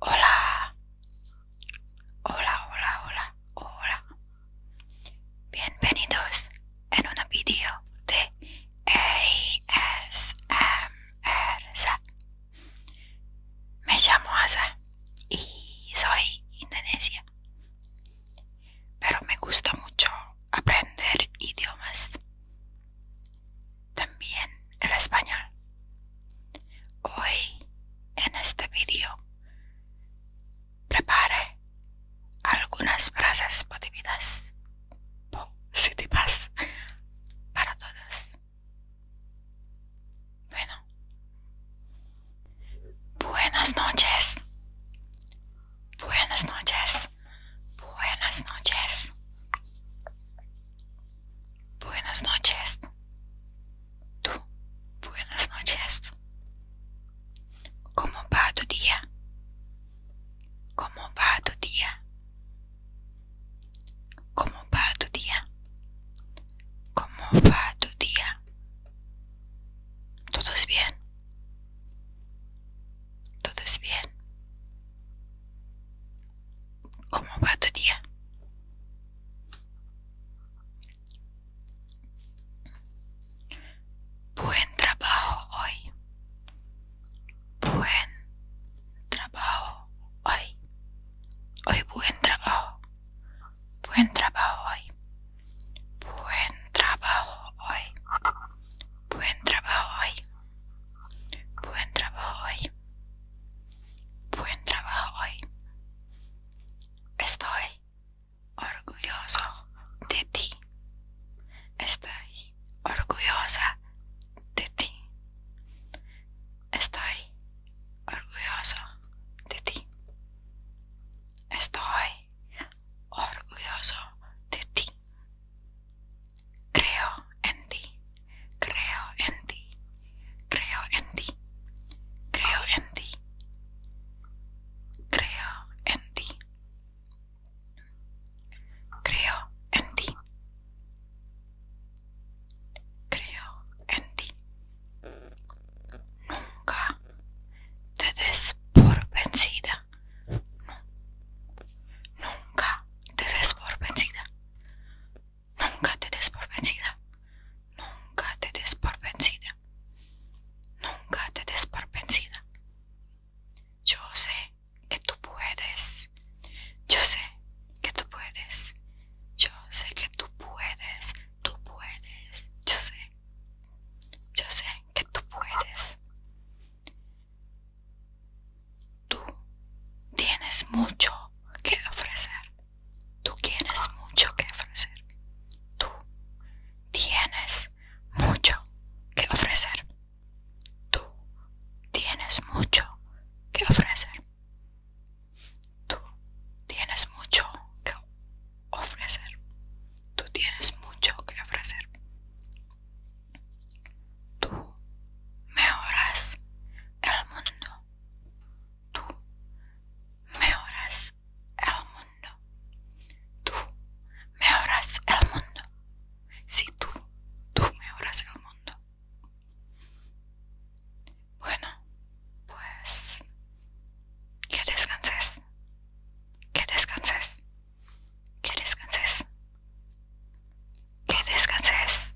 Hola. Hola, hola, hola, hola. Bienvenidos en un video de ASMR. Me llamo Asa y soy indonesia. Pero me gusta mucho aprender idiomas. También el español. Hoy en este video, prepare algunas frases positivas, para todos. Bueno, buenas noches. Buenas noches. Buenas noches. Buenas noches. Tú. Buenas noches. ¿Cómo va tu día? ¿Cómo va tu día? ¿Cómo va tu día? ¿Cómo va tu día? Todo es bien. Todo es bien. Como va día? Buen trabajo hoy. Buen trabajo hoy. Hoy buen trabajo. Buen trabajo hoy. Buen trabajo hoy. Buen trabajo hoy. Buen trabajo hoy. Buen trabajo hoy. Estoy orgulloso de ti. Estoy orgullosa de ti. Estoy orgulloso de ti. Estoy orgulloso de ti. Creo en ti. Creo en ti. Creo en ti. Creo en ti. Creo en ti. Creo en ti. Creo en ti. Nunca te des por vencida. Nunca te des por vencida. Nunca te des por vencida. Nunca te des por vencida. Nunca te des por yo sé que tú puedes. Yo sé que tú puedes. Yo sé que tú puedes. Tú puedes. Yo sé. Yo sé que tú puedes. Tú tienes mucho que ofrecer. Tú tienes mucho que ofrecer. Tú tienes mucho que ofrecer. Tú tienes mucho que ofrecer. Tú tienes mucho que ofrecer. Tú tienes mucho que ofrecer. Tú me mejoras el mundo. Tú me mejoras el mundo. Tú me horas el mundo. si tú, tú me horas el mundo. Bueno, pues que descanses. Que descanses. Que descanses. Que descanses.